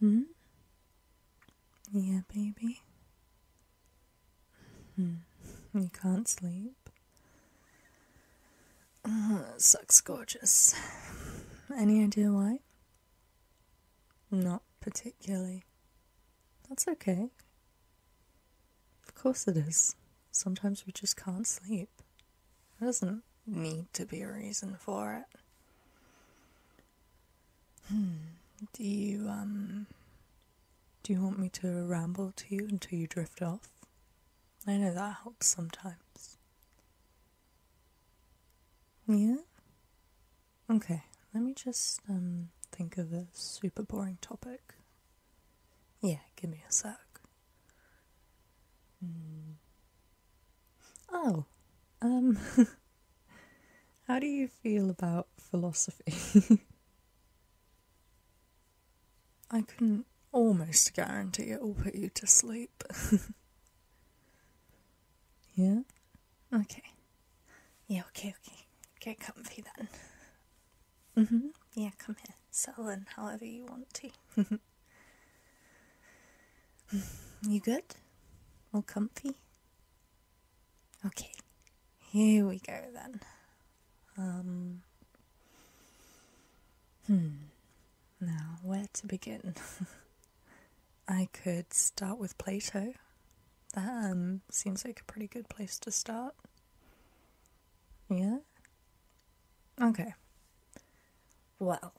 Hmm? Yeah, baby. Hmm. You can't sleep. Oh, sucks gorgeous. Any idea why? Not particularly. That's okay. Of course it is. Sometimes we just can't sleep. There doesn't need to be a reason for it. Hmm. Do you um do you want me to ramble to you until you drift off? I know that helps sometimes. Yeah? Okay, let me just um think of a super boring topic. Yeah, give me a sec. Hmm. Oh, um, how do you feel about philosophy? I can almost guarantee it will put you to sleep. yeah? Okay. Yeah, okay, okay. Get comfy then. Mm-hmm. Yeah, come here. Settle in however you want to. You good? All comfy? Okay, here we go then. Um, hmm. Now, where to begin? I could start with Plato. That um, seems like a pretty good place to start. Yeah? Okay. Well,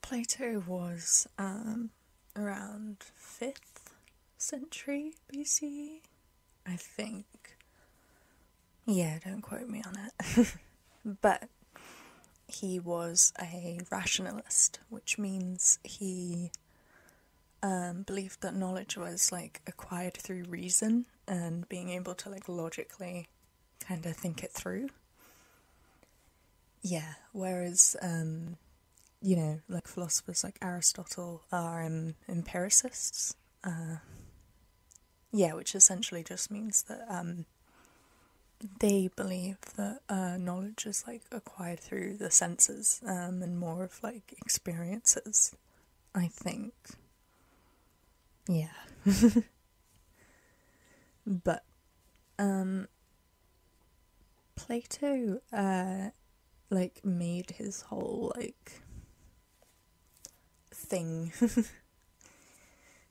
Plato was um, around 5th century BC, I think. Yeah, don't quote me on it. but he was a rationalist, which means he um, believed that knowledge was like acquired through reason and being able to like logically kind of think it through. Yeah, whereas, um, you know, like philosophers like Aristotle are um, empiricists. Uh, yeah, which essentially just means that um, they believe that uh, knowledge is like acquired through the senses and more of like experiences, I think. Yeah. but um Plato uh like made his whole like thing.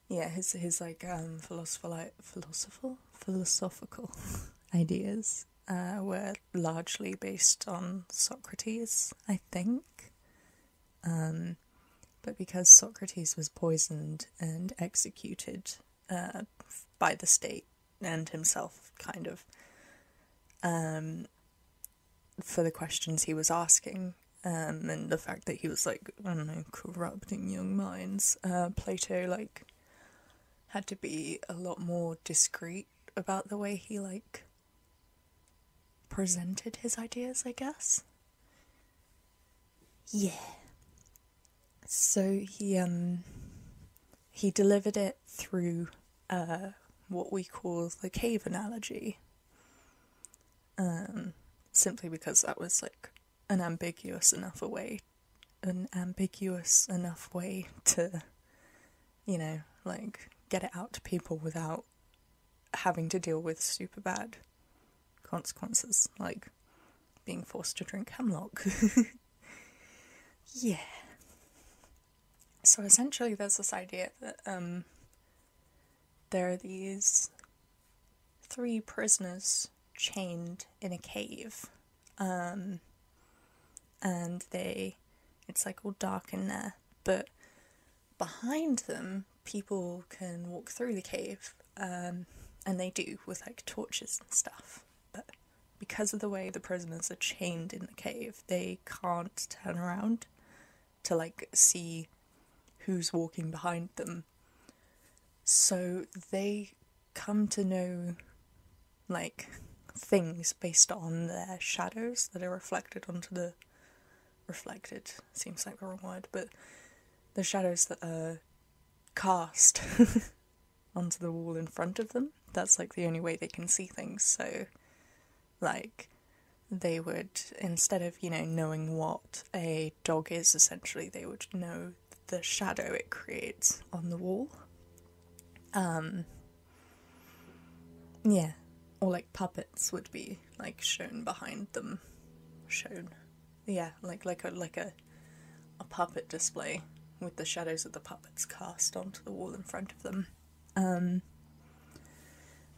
yeah, his his like um philosopher philosophical philosophical ideas uh were largely based on Socrates, I think. Um but because Socrates was poisoned and executed uh, by the state and himself, kind of, um, for the questions he was asking. Um, and the fact that he was like, I don't know, corrupting young minds, uh, Plato, like, had to be a lot more discreet about the way he, like, presented his ideas, I guess. Yeah. So he um he delivered it through uh, what we call the cave analogy. Um, simply because that was like an ambiguous enough a way, an ambiguous enough way to, you know, like get it out to people without having to deal with super bad consequences, like being forced to drink hemlock. yeah. So essentially, there's this idea that um, there are these three prisoners chained in a cave. Um, and they, it's like all dark in there, but behind them, people can walk through the cave, um, and they do with like torches and stuff. But because of the way the prisoners are chained in the cave, they can't turn around to like see who's walking behind them. So they come to know like things based on their shadows that are reflected onto the reflected seems like the wrong word, but the shadows that are cast onto the wall in front of them. That's like the only way they can see things. So, like, they would, instead of, you know, knowing what a dog is essentially, they would know the shadow it creates on the wall. Um, yeah. Or like puppets would be like shown behind them, shown. Yeah, like like a like a a puppet display with the shadows of the puppets cast onto the wall in front of them. Um,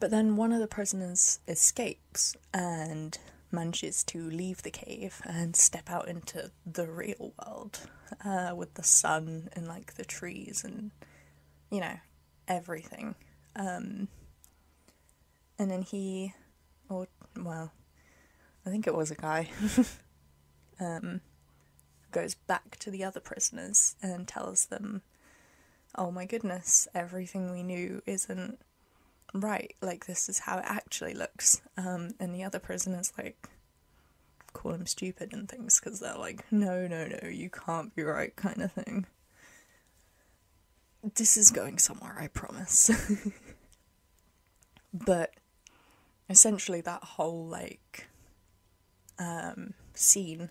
but then one of the prisoners escapes and manages to leave the cave and step out into the real world uh, with the sun and like the trees and you know everything. Um, and then he, or, oh, well, I think it was a guy, um, goes back to the other prisoners and tells them, oh my goodness, everything we knew isn't right. Like, this is how it actually looks. Um, and the other prisoners, like, call him stupid and things because they're like, no, no, no, you can't be right, kind of thing this is going somewhere, I promise. but essentially, that whole like um, scene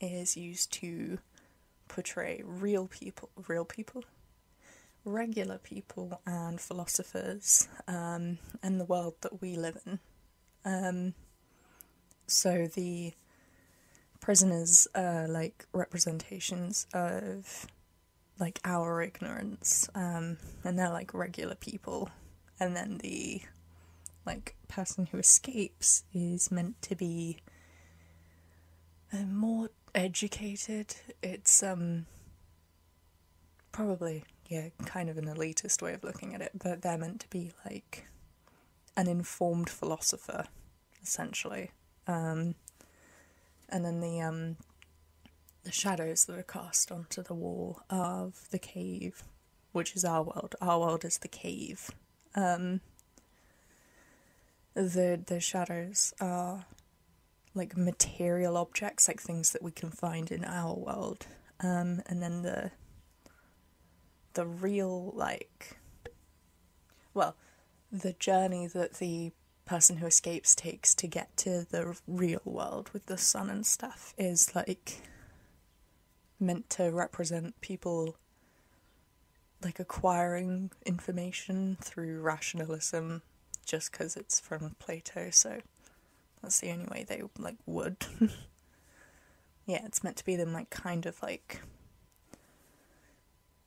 is used to portray real people, real people, regular people, and philosophers, um, and the world that we live in. Um, so the prisoners are like representations of like our ignorance, um, and they're like regular people, and then the like person who escapes is meant to be uh, more educated. It's um probably yeah, kind of an elitist way of looking at it, but they're meant to be like an informed philosopher essentially. Um, and then the um, the shadows that are cast onto the wall of the cave, which is our world. Our world is the cave. Um, the the shadows are like material objects, like things that we can find in our world, and then the the real like well, the journey that the person who escapes takes to get to the real world with the sun and stuff is like meant to represent people like acquiring information through rationalism just because it's from Plato, so that's the only way they like would. yeah, it's meant to be them like kind of like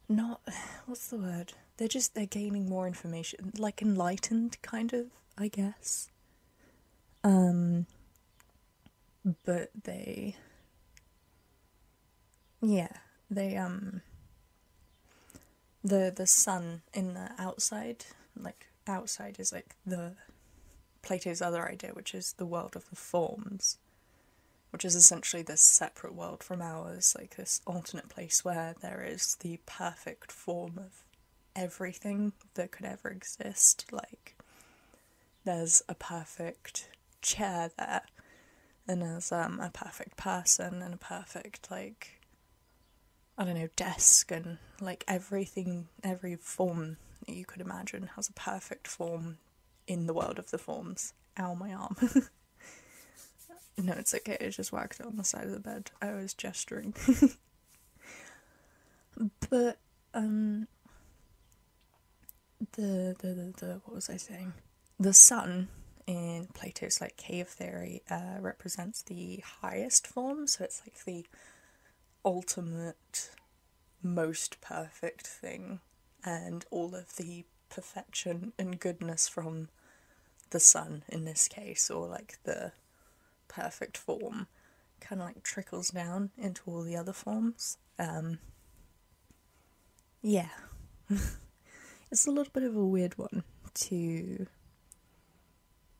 not what's the word they're just they're gaining more information like enlightened kind of i guess um but they yeah they um the the sun in the outside like outside is like the plato's other idea which is the world of the forms which is essentially this separate world from ours, like this alternate place where there is the perfect form of everything that could ever exist. Like, there's a perfect chair there, and there's um, a perfect person, and a perfect, like, I don't know, desk, and like everything, every form that you could imagine has a perfect form in the world of the forms. Ow, my arm. no, it's okay, I just whacked it on the side of the bed. I was gesturing. but, um, the, the, the, what was I saying? The sun in Plato's like cave theory uh, represents the highest form, so it's like the ultimate most perfect thing and all of the perfection and goodness from the sun in this case or like the perfect form kind of like trickles down into all the other forms um, yeah it's a little bit of a weird one to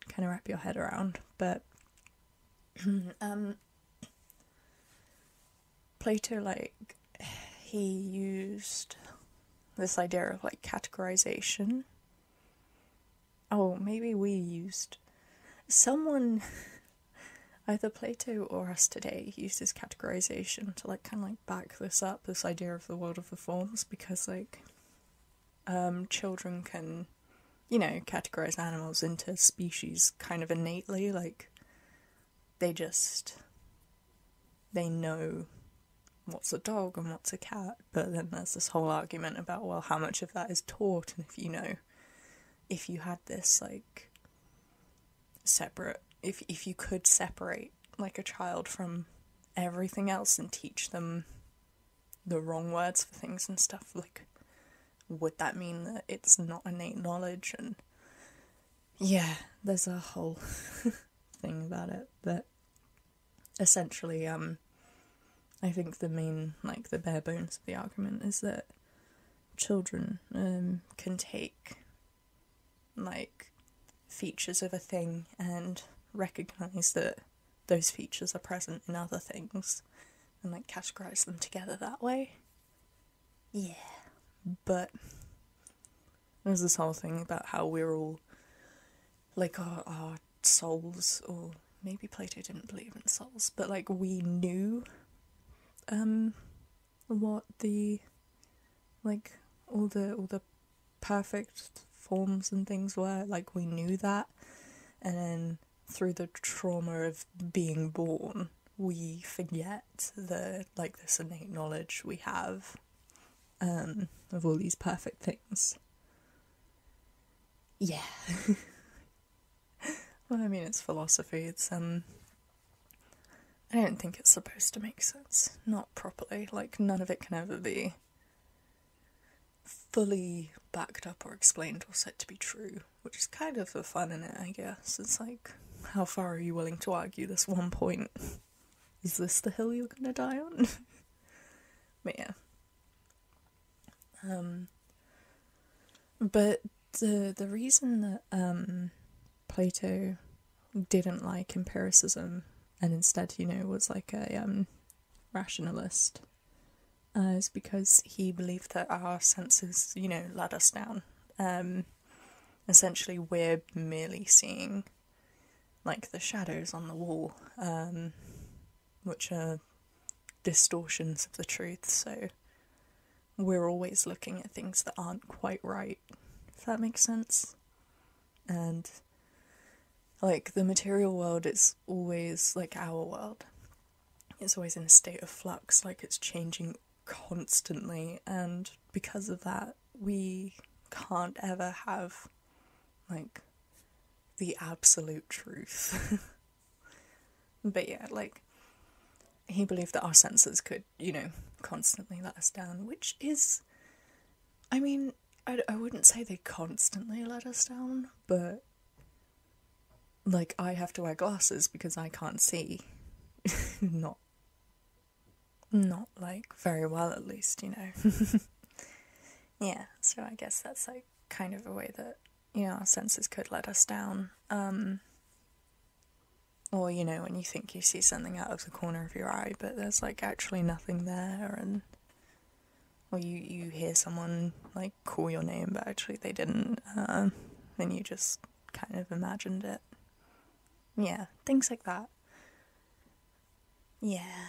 kind of wrap your head around but um, Plato, like, he used this idea of like categorization. Oh, maybe we used. Someone, either Plato or us today, uses categorization to like kind of like back this up, this idea of the world of the forms, because like um, children can, you know, categorize animals into species kind of innately, like they just they know what's a dog and what's a cat but then there's this whole argument about well how much of that is taught and if you know if you had this like separate if if you could separate like a child from everything else and teach them the wrong words for things and stuff like would that mean that it's not innate knowledge and yeah, there's a whole thing about it that essentially, um, I think the main, like, the bare bones of the argument is that children um, can take, like, features of a thing and recognize that those features are present in other things and, like, categorize them together that way. Yeah. But there's this whole thing about how we're all like our, souls, or maybe Plato didn't believe in souls, but like we knew um what the like all the all the perfect forms and things were like we knew that and then through the trauma of being born we forget the like this innate knowledge we have um, of all these perfect things. Yeah. well, I mean, it's philosophy. It's um, I don't think it's supposed to make sense. Not properly. Like none of it can ever be fully backed up or explained or said to be true which is kind of the fun in it, I guess. It's like, how far are you willing to argue this one point? Is this the hill you're gonna die on? but yeah. Um, but the the reason that um, Plato didn't like empiricism and instead, you know, was like a um, rationalist uh, is because he believed that our senses, you know, let us down. Um, essentially we're merely seeing like the shadows on the wall, um, which are distortions of the truth. So we're always looking at things that aren't quite right, if that makes sense. And like the material world it's always like our world, it's always in a state of flux, like it's changing constantly, and because of that, we can't ever have like the absolute truth. but yeah, like he believed that our senses could, you know, constantly let us down, which is, I mean, I, I wouldn't say they constantly let us down, but like I have to wear glasses because I can't see. Not not like very well at least, you know. yeah, so I guess that's like kind of a way that, you know, our senses could let us down. Um or, you know, when you think you see something out of the corner of your eye but there's like actually nothing there and or you, you hear someone like call your name but actually they didn't, uh, then you just kind of imagined it. Yeah, things like that. Yeah.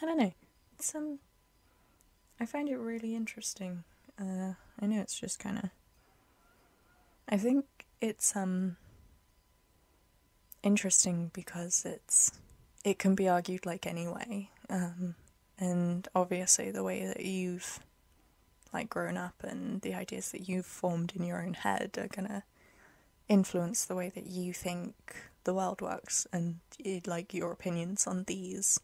I don't know. It's, um, I find it really interesting. Uh, I know it's just kind of. I think it's, um, interesting because it's. It can be argued like anyway. Um, and obviously the way that you've like grown up and the ideas that you've formed in your own head are going to influence the way that you think the world works and eh, like your opinions on these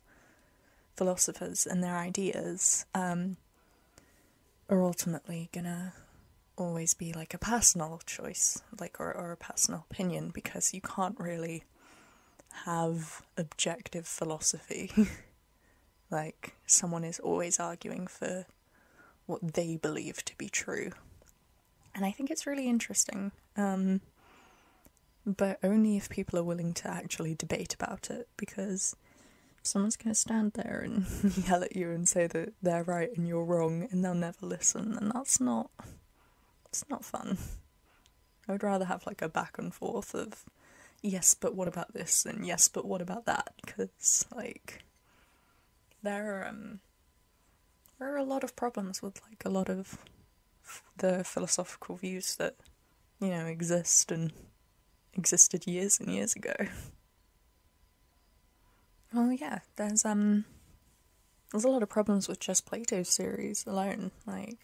philosophers and their ideas um, are ultimately going to always be like a personal choice like or, or a personal opinion because you can't really have objective philosophy Like, someone is always arguing for what they believe to be true. And I think it's really interesting. Um, but only if people are willing to actually debate about it, because someone's going to stand there and yell at you and say that they're right and you're wrong, and they'll never listen, and that's not. It's not fun. I would rather have like a back and forth of yes, but what about this? And yes, but what about that? Because, like, there are, um, there are a lot of problems with, like, a lot of the philosophical views that, you know, exist and existed years and years ago. Well, yeah, there's, um, there's a lot of problems with just Plato's series alone. Like,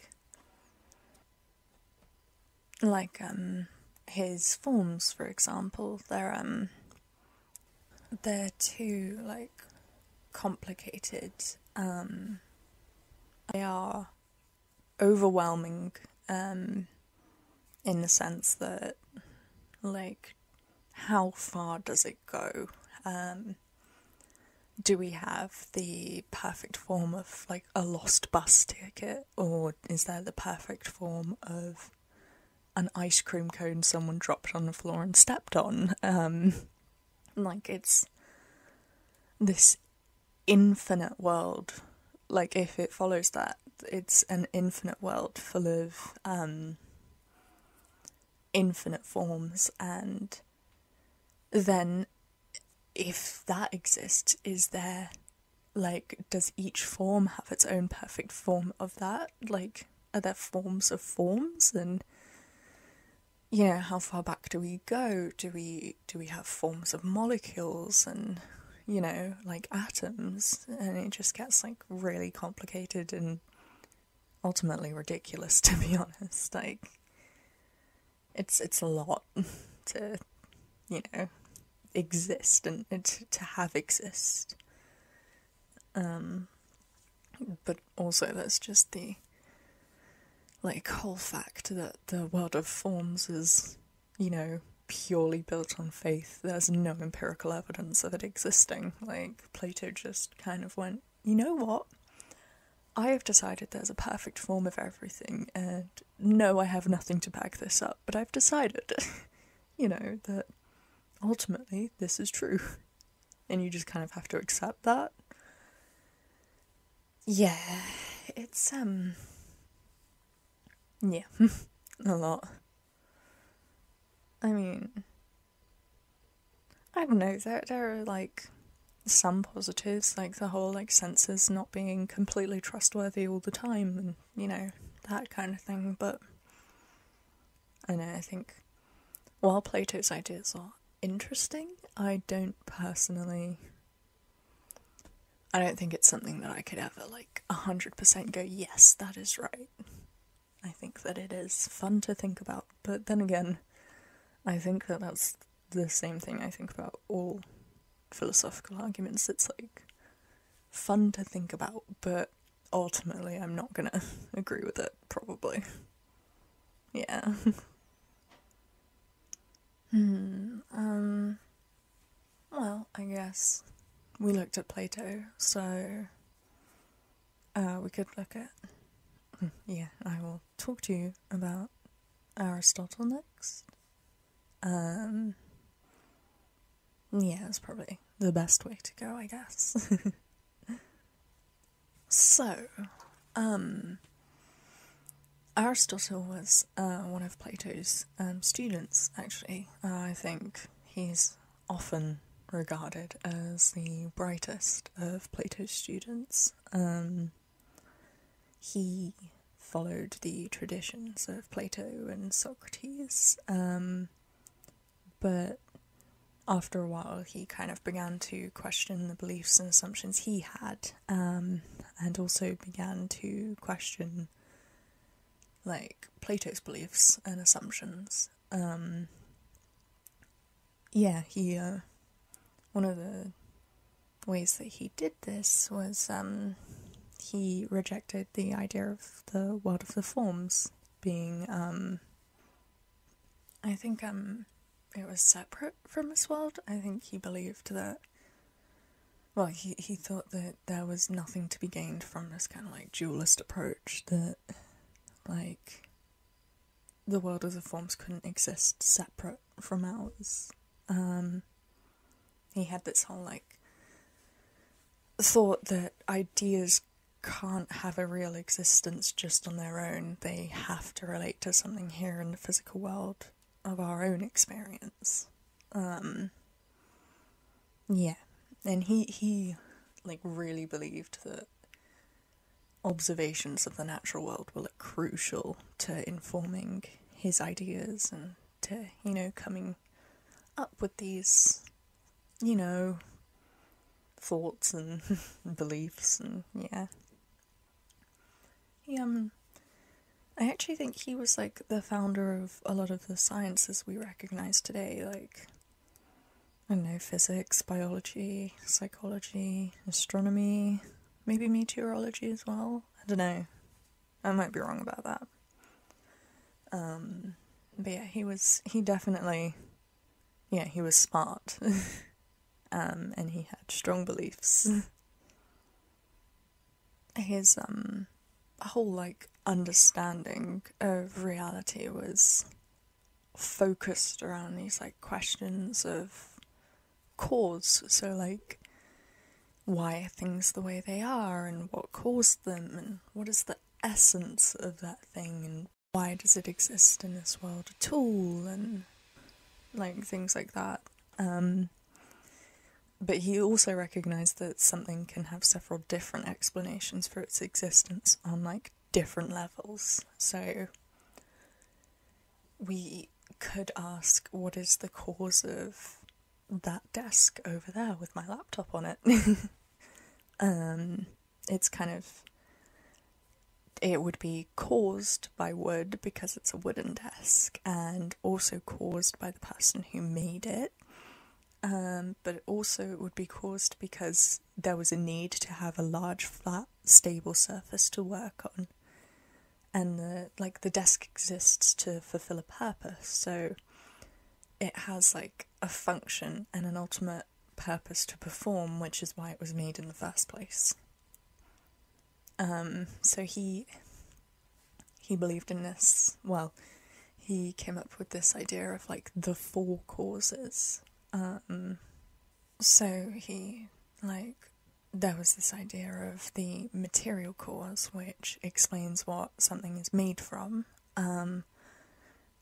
like um, his forms, for example, they're um, they're too like complicated. Um, they are overwhelming um, in the sense that, like, how far does it go? Um, do we have the perfect form of like a lost bus ticket? or is there the perfect form of an ice cream cone someone dropped on the floor and stepped on? Um, like it's this infinite world. Like if it follows that, it's an infinite world full of um, infinite forms, and then if that exists, is there like does each form have its own perfect form of that like are there forms of forms and you know how far back do we go do we do we have forms of molecules and you know like atoms and it just gets like really complicated and ultimately ridiculous to be honest like it's it's a lot to you know exist and, and to have exist. Um, but also, there's just the like whole fact that the world of forms is, you know, purely built on faith. There's no empirical evidence of it existing. Like Plato just kind of went, you know what? I have decided there's a perfect form of everything, and no, I have nothing to back this up, but I've decided, you know, that ultimately this is true. And you just kind of have to accept that. Yeah, it's, um, yeah, a lot. I mean, I don't know, there, there are like some positives, like the whole like senses not being completely trustworthy all the time and you know, that kind of thing. But I know, I think while Plato's ideas are interesting, I don't personally. I don't think it's something that I could ever, like, 100% go, yes, that is right. I think that it is fun to think about, but then again, I think that that's the same thing I think about all philosophical arguments that's like fun to think about, but ultimately I'm not gonna agree with it, probably. Yeah. Hmm, um. Well, I guess we looked at Plato, so uh, we could look at. Yeah, I will talk to you about Aristotle next. Um, yeah, it's probably the best way to go, I guess. so, um, Aristotle was uh, one of Plato's um, students, actually. Uh, I think he's often regarded as the brightest of Plato's students. Um, he followed the traditions of Plato and Socrates, um, but after a while he kind of began to question the beliefs and assumptions he had, um, and also began to question like Plato's beliefs and assumptions. Um, yeah, he uh, one of the ways that he did this was um, he rejected the idea of the world of the forms being, um, I think, um, it was separate from this world. I think he believed that. Well, he, he thought that there was nothing to be gained from this kind of like dualist approach that, like, the world of the forms couldn't exist separate from ours. Um, he had this whole like thought that ideas can't have a real existence just on their own. They have to relate to something here in the physical world of our own experience. Um, yeah, and he he like really believed that observations of the natural world were crucial to informing his ideas and to you know coming up with these, you know, thoughts and beliefs and yeah. He um, I actually think he was like the founder of a lot of the sciences we recognize today, like I don't know, physics, biology, psychology, astronomy, maybe meteorology as well. I don't know. I might be wrong about that. Um, but yeah, he was, he definitely, yeah, he was smart. Um, and he had strong beliefs. His, um, whole, like, understanding of reality was focused around these, like, questions of cause. So, like, why are things the way they are and what caused them and what is the essence of that thing and why does it exist in this world at all and like things like that. Um, but he also recognized that something can have several different explanations for its existence on like different levels. So we could ask what is the cause of that desk over there with my laptop on it. um, it's kind of. It would be caused by wood because it's a wooden desk, and also caused by the person who made it. Um, but also it would be caused because there was a need to have a large, flat, stable surface to work on and like the desk exists to fulfill a purpose so it has like a function and an ultimate purpose to perform which is why it was made in the first place um, so he he believed in this well he came up with this idea of like the four causes um, so he like there was this idea of the material cause which explains what something is made from. Um,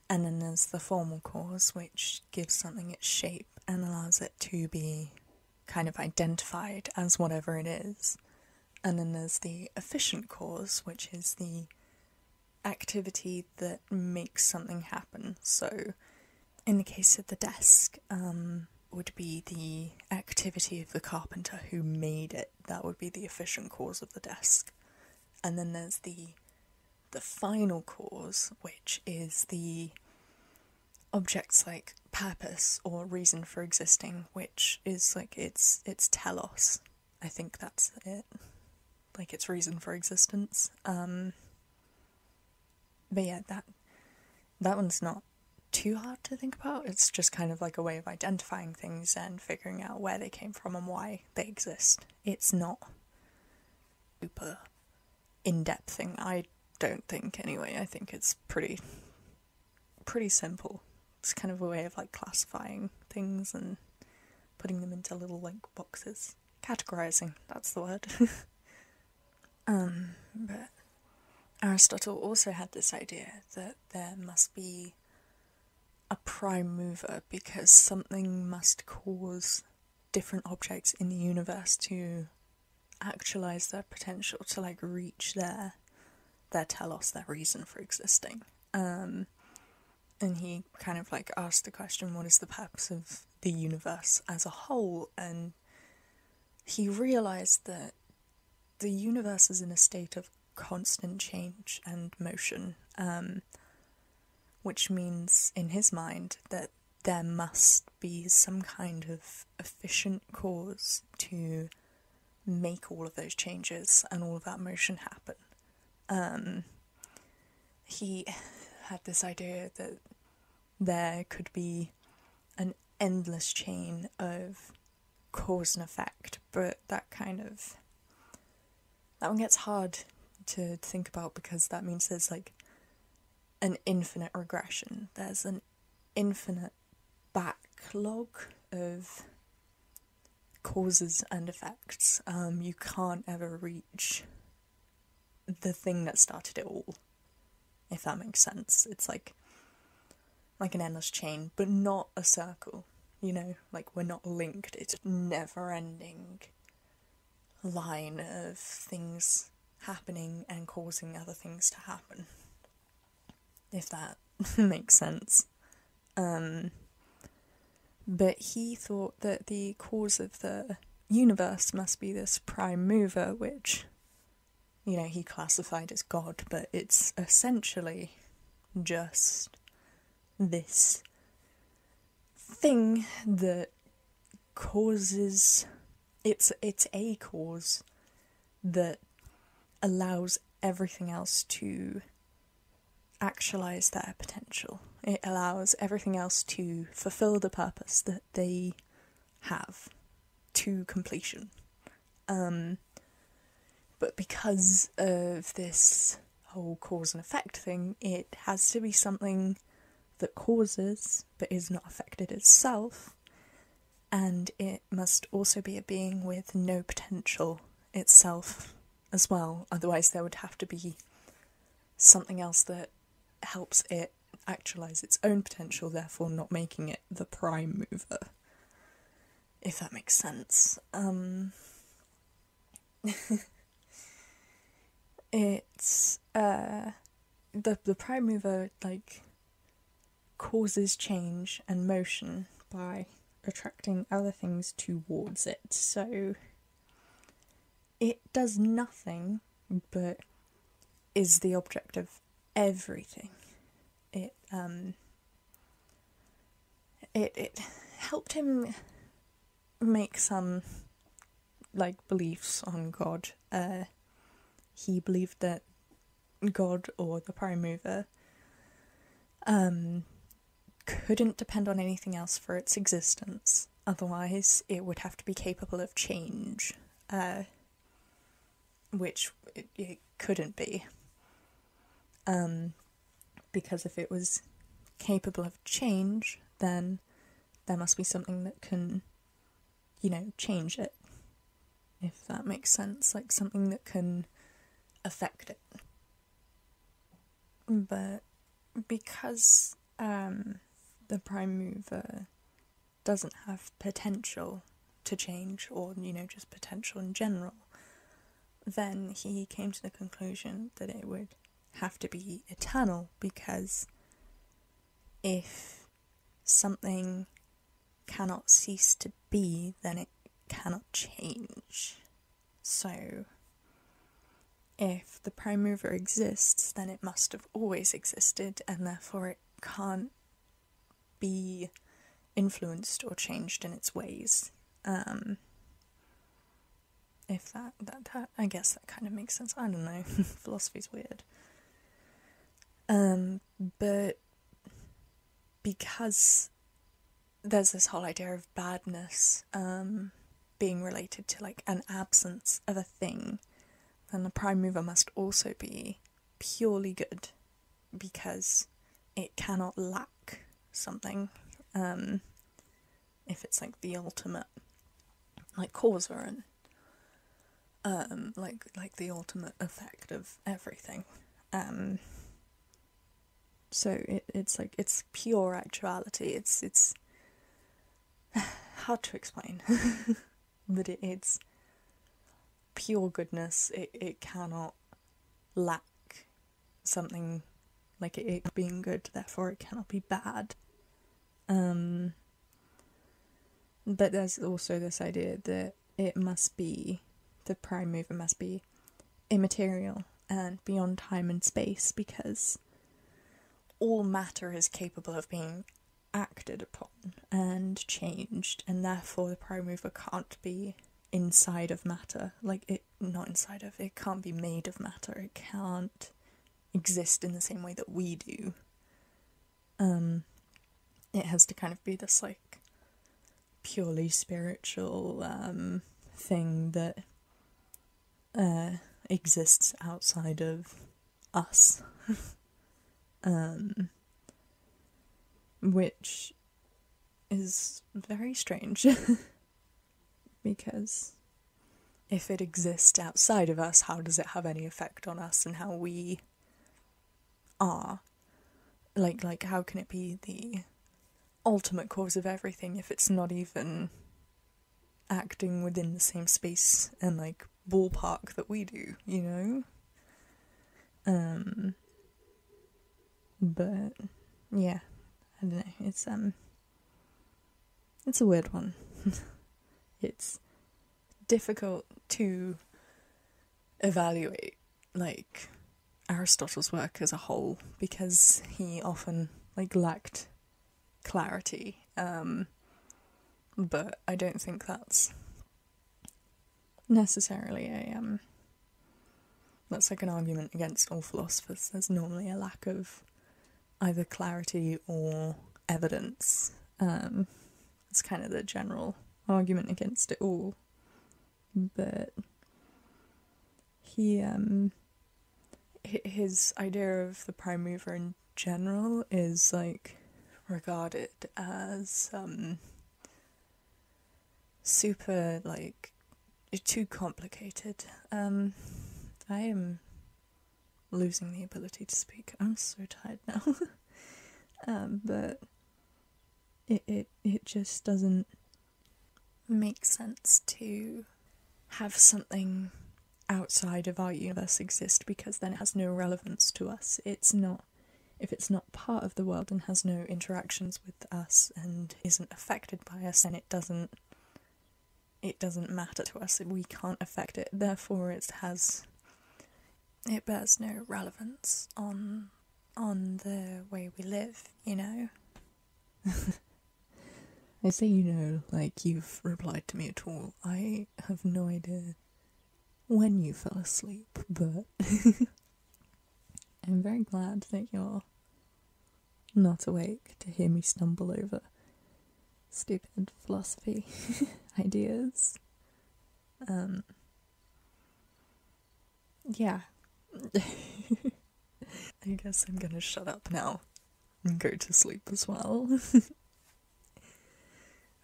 and then there's the formal cause, which gives something its shape and allows it to be kind of identified as whatever it is. And then there's the efficient cause, which is the activity that makes something happen. So, in the case of the desk, um, would be the activity of the carpenter who made it that would be the efficient cause of the desk. And then there's the the final cause, which is the object's like purpose or reason for existing, which is like its its telos. I think that's it. Like its reason for existence. Um, but yeah, that that one's not too hard to think about. It's just kind of like a way of identifying things and figuring out where they came from and why they exist. It's not super in depth thing, I don't think, anyway. I think it's pretty, pretty simple. It's kind of a way of like classifying things and putting them into little like boxes. Categorizing, that's the word. um, but Aristotle also had this idea that there must be a prime mover because something must cause different objects in the universe to actualize their potential to like reach their their telos their reason for existing um, and he kind of like asked the question what is the purpose of the universe as a whole and he realized that the universe is in a state of constant change and motion, um, which means in his mind that there must be some kind of efficient cause to make all of those changes and all of that motion happen. Um, he had this idea that there could be an endless chain of cause and effect, but that kind of that one gets hard to think about because that means there's like an infinite regression. There's an infinite backlog of causes and effects. Um, you can't ever reach the thing that started it all, if that makes sense. It's like like an endless chain, but not a circle. You know, like we're not linked. It's a never ending line of things happening and causing other things to happen. If that makes sense. Um, but he thought that the cause of the universe must be this prime mover, which you know, he classified as God, but it's essentially just this thing that causes it's it's a cause that allows everything else to actualize their potential. It allows everything else to fulfill the purpose that they have to completion. Um, but because of this whole cause and effect thing, it has to be something that causes but is not affected itself, and it must also be a being with no potential itself as well, otherwise, there would have to be something else that helps it actualize its own potential, therefore, not making it the prime mover if that makes sense. Um, it's uh, the the prime mover like causes change and motion by attracting other things towards it. So it does nothing but is the object of everything. It um, it it helped him make some like beliefs on God. Uh, he believed that God or the Prime Mover um, couldn't depend on anything else for its existence. Otherwise, it would have to be capable of change. Uh, which it, couldn't be. Um, because if it was capable of change, then there must be something that can, you know, change it. If that makes sense, like something that can affect it. But because um, the prime mover doesn't have potential to change or, you know, just potential in general, then he came to the conclusion that it would have to be eternal because if something cannot cease to be, then it cannot change. So, if the prime mover exists, then it must have always existed, and therefore it can't be influenced or changed in its ways. Um, if that, that, I guess that kind of makes sense. I don't know. Philosophy's weird. Um, but because there's this whole idea of badness um, being related to like an absence of a thing, then the prime mover must also be purely good because it cannot lack something um, if it's like the ultimate like cause or an, um, like like the ultimate effect of everything um, so it, it's like it's pure actuality it's it's hard to explain but it's pure goodness it, it cannot lack something like it, being good, therefore it cannot be bad. Um, but there's also this idea that it must be the prime mover must be immaterial and beyond time and space because all matter is capable of being acted upon and changed, and therefore the prime mover can't be inside of matter. Like it, not inside of, it can't be made of matter. It can't exist in the same way that we do. Um, it has to kind of be this like purely spiritual um, thing that uh, exists outside of us. um, which is very strange. because if it exists outside of us, how does it have any effect on us and how we are? Like, like, how can it be the ultimate cause of everything if it's not even acting within the same space and like ballpark that we do, you know? Um, but yeah, I don't know. It's um it's a weird one. it's difficult to evaluate like Aristotle's work as a whole because he often like lacked clarity. Um, but I don't think that's necessarily a um that's like an argument against all philosophers. There's normally a lack of either clarity or evidence. Um, it's kind of the general argument against it all. But he um his idea of the prime mover in general is like regarded as um super like too complicated. Um, I am losing the ability to speak. I'm so tired now. um, but it, it it just doesn't make sense to have something outside of our universe exist because then it has no relevance to us. It's not if it's not part of the world and has no interactions with us and isn't affected by us, then it doesn't it doesn't matter to us. We can't affect it. Therefore, it has it bears no relevance on on the way we live. You know. I say you know, like you've replied to me at all. I have no idea when you fell asleep, but I'm very glad that you're not awake to hear me stumble over stupid philosophy ideas. Um, yeah. I guess I'm gonna shut up now and go to sleep as well.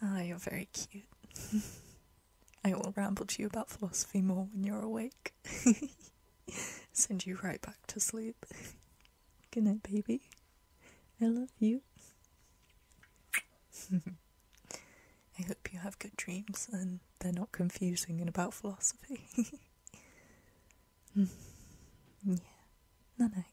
Ah, oh, you're very cute. I will ramble to you about philosophy more when you're awake. Send you right back to sleep. Good night, baby. I love you. I hope you have good dreams and they're not confusing and about philosophy. yeah. Night night.